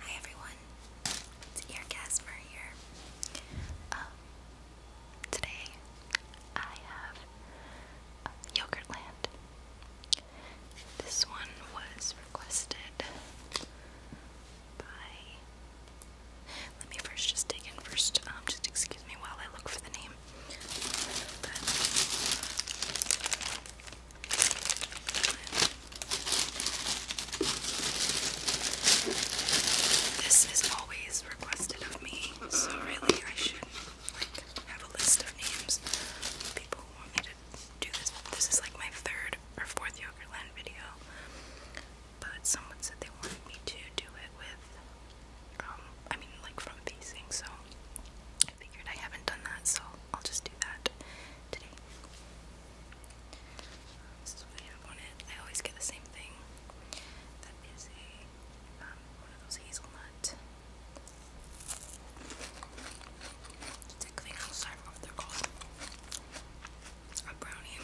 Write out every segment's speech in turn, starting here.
Hi everyone, it's Ear Gasmer here. Um, today I have Yogurtland. This one was requested by. Let me first just dig in first. Um, just excuse me while I look for the name. This is always requested of me, so really I should like have a list of names people want me to do this. This is like my third or fourth Yogurtland video, but someone said they wanted me to do it with, um, I mean, like from facing. so I figured I haven't done that, so I'll just do that today. This is what I have I always get the same thing. That is a um, one of those hazelnut. Stick thing outside of what they're called. It's a brownie.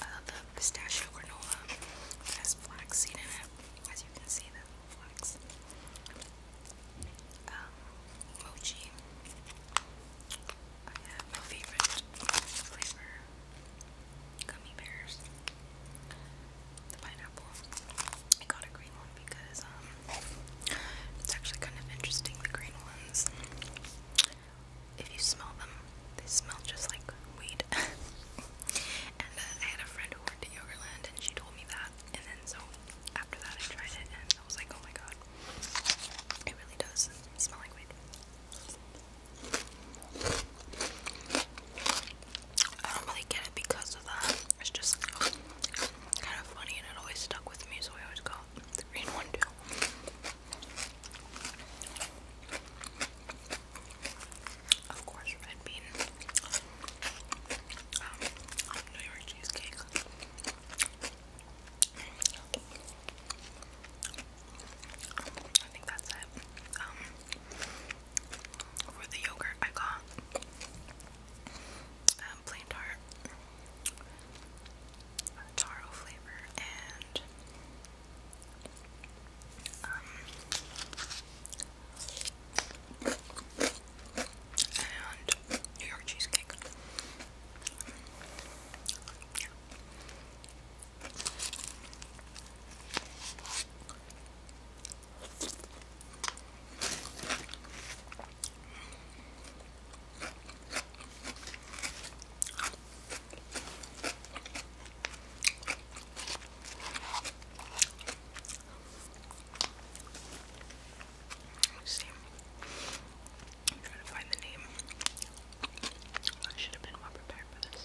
Uh, the pistachio granola has flaxseed in it, as you can see flax. Um, mochi. I have my favorite flavor gummy bears. The pineapple. I got a green one because um, it's actually kind of interesting. The green ones, if you smell them, they smell just like weed. and uh, I had a friend who worked at Yogurtland, and she told me that. And then so after that, I tried it and I was like, oh my god, it really does smell like weed. I don't really get it because of that. It's just kind of funny and it always stuck with me, so I always got the green one too. Of course, red bean. Um, cheesecake. I think that's it. Um, for the yogurt, I got um, plain tart, taro flavor, and um, and New York cheesecake. Yeah let see. I'm trying to find the name. I should have been more prepared for this.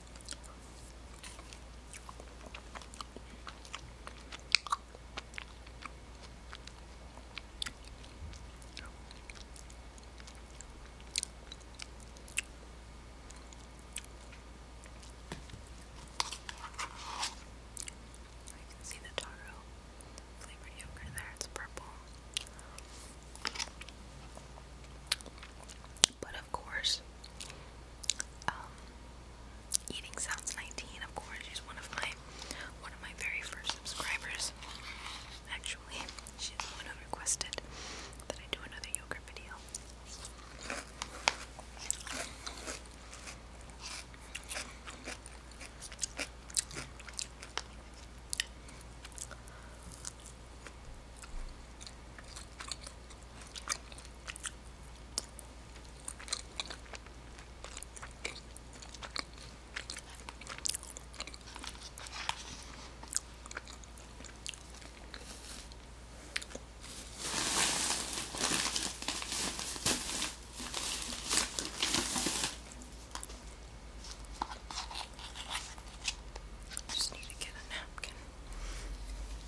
I can see the taro flavored yogurt there, it's purple. But of course, um, Eating Sounds 19, of course, she's one of my one of my very first subscribers. Actually, she's the one who requested that I do another yoga video. Just need to get a napkin.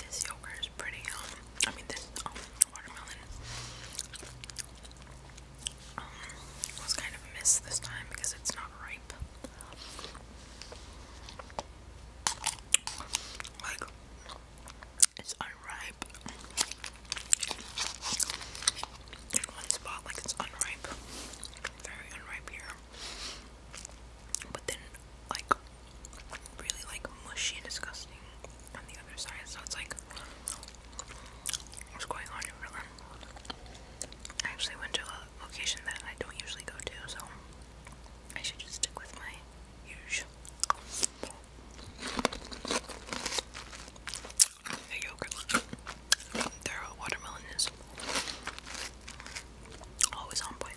This yogurt is pretty um I mean this um watermelon um, was kind of a this time because it's not ripe. Like, it's unripe. In one spot, like it's unripe. Very unripe here. But then, like, really like mushy and disgusting on the other side. So it's like, what's going on in I actually went to a location that I don't usually go to, so I should just stick with my usual. The yogurt, their watermelon is always on point.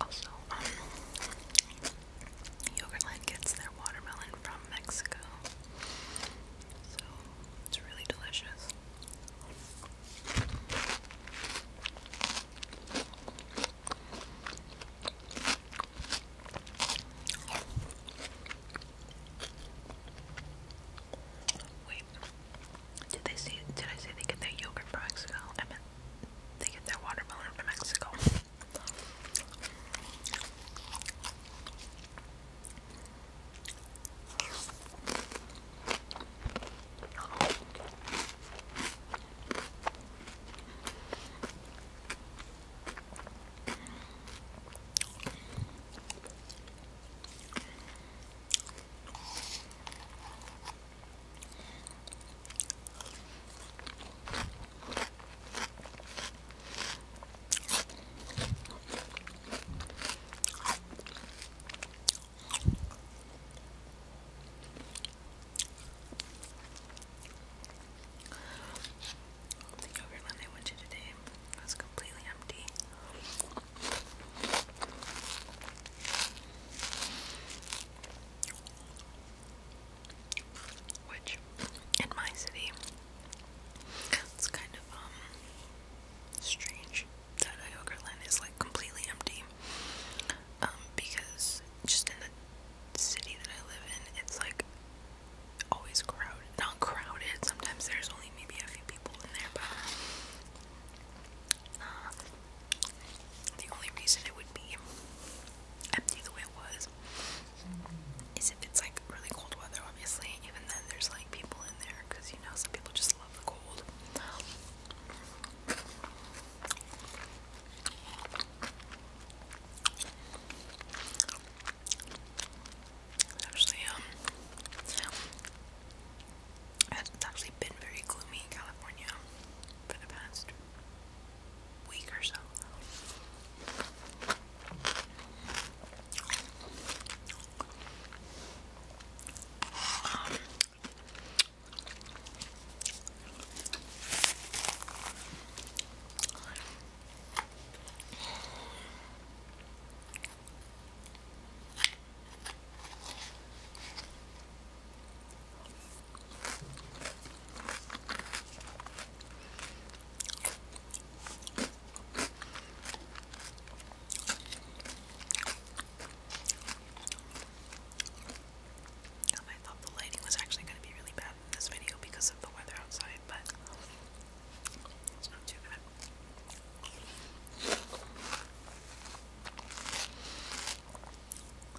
Also, um, Yogurtland gets their watermelon from Mexico, so it's really delicious. Wait, did they see? Did I say they get their yogurt from Mexico? I meant they get their watermelon from Mexico. The yogurt I went to today was good completely empty. Which, in my city, it's kind of um strange that Iogarland is like completely empty. Um, because just in the city that I live in, it's like always crowded. Not crowded. Sometimes there's only maybe a few people in there, but uh, the only reason it would be empty the way it was is if it's like really cold weather. Obviously, even then there's like people in there because you know some people just love the cold actually, um, it's actually been very gloomy in California for the past week or so. Um, I thought the lighting was actually going to be really bad in this video because of the weather outside, but it's not too bad.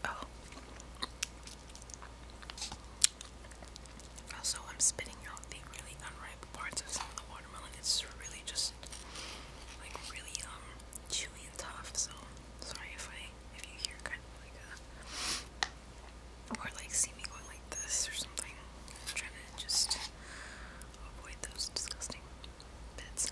Oh. I'm spitting out the really unripe parts of the watermelon. It's really just like really um chewy and tough. So sorry if I if you hear kind of like a or like see me going like this or something. I'm trying to just avoid those disgusting bits.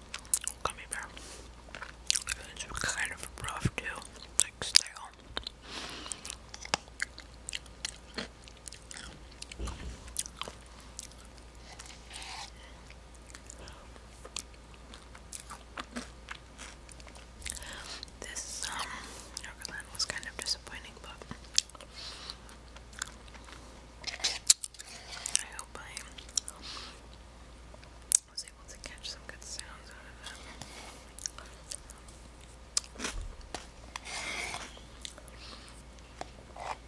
gummy bear. It's kind of rough too, like stale. This um Neverland was kind of disappointing, but I hope I was able to catch some good sounds out of it. Hold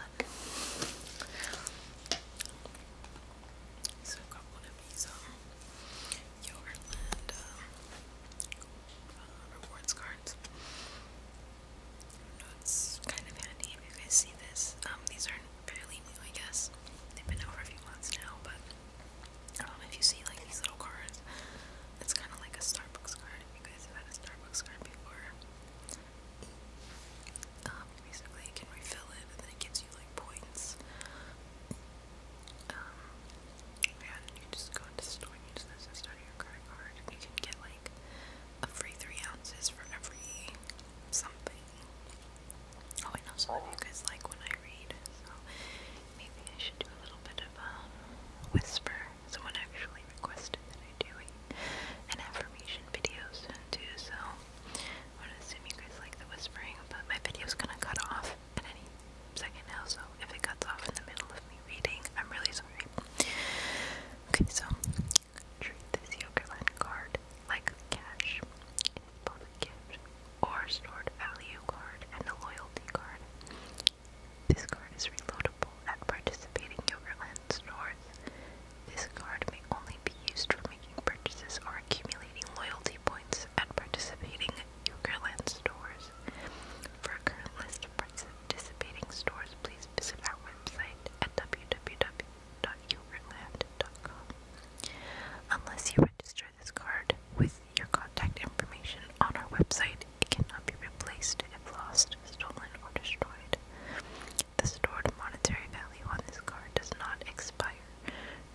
on. So i one these um Yo Land um, rewards cards. it's kind of handy if you guys see this. Um, these are fairly new, I guess. They've been out for a few months now, but um, if you see like these little cards, it's kind of like a Starbucks card. If you guys have had a Starbucks card before, um, basically you can refill it and then it gives you like points. Um, and you just go into the store and use this instead credit card. And you can get like a free three ounces for every something. Oh, I know some of you guys like when I read, so maybe I should do a little bit of a um, whisper. Someone actually requested that I do an affirmation video soon too, so I want to you guys like the whispering, but my video's gonna cut off at any second now, so if it cuts off in the middle of me reading, I'm really sorry. Okay, so this Yokerland card like cash. It is gift or stored value card and a loyalty card. This card is reloadable at participating Yokerland stores. This card may only be used for making purchases or accumulating loyalty points at participating Yogurtland stores. For a current list of participating stores, please visit our website at www.yogurtland.com. Unless you register this card with your contact information on our website, it cannot be replaced if lost, stolen, or destroyed. The stored monetary value on this card does not expire fire,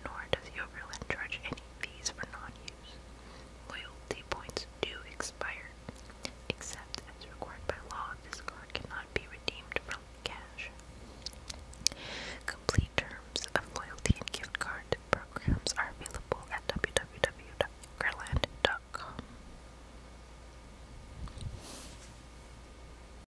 nor does Yoverland charge any fees for non-use. Loyalty points do expire. Except as required by law, this card cannot be redeemed for cash. Complete terms of loyalty and gift card programs are available at www.yoverland.com.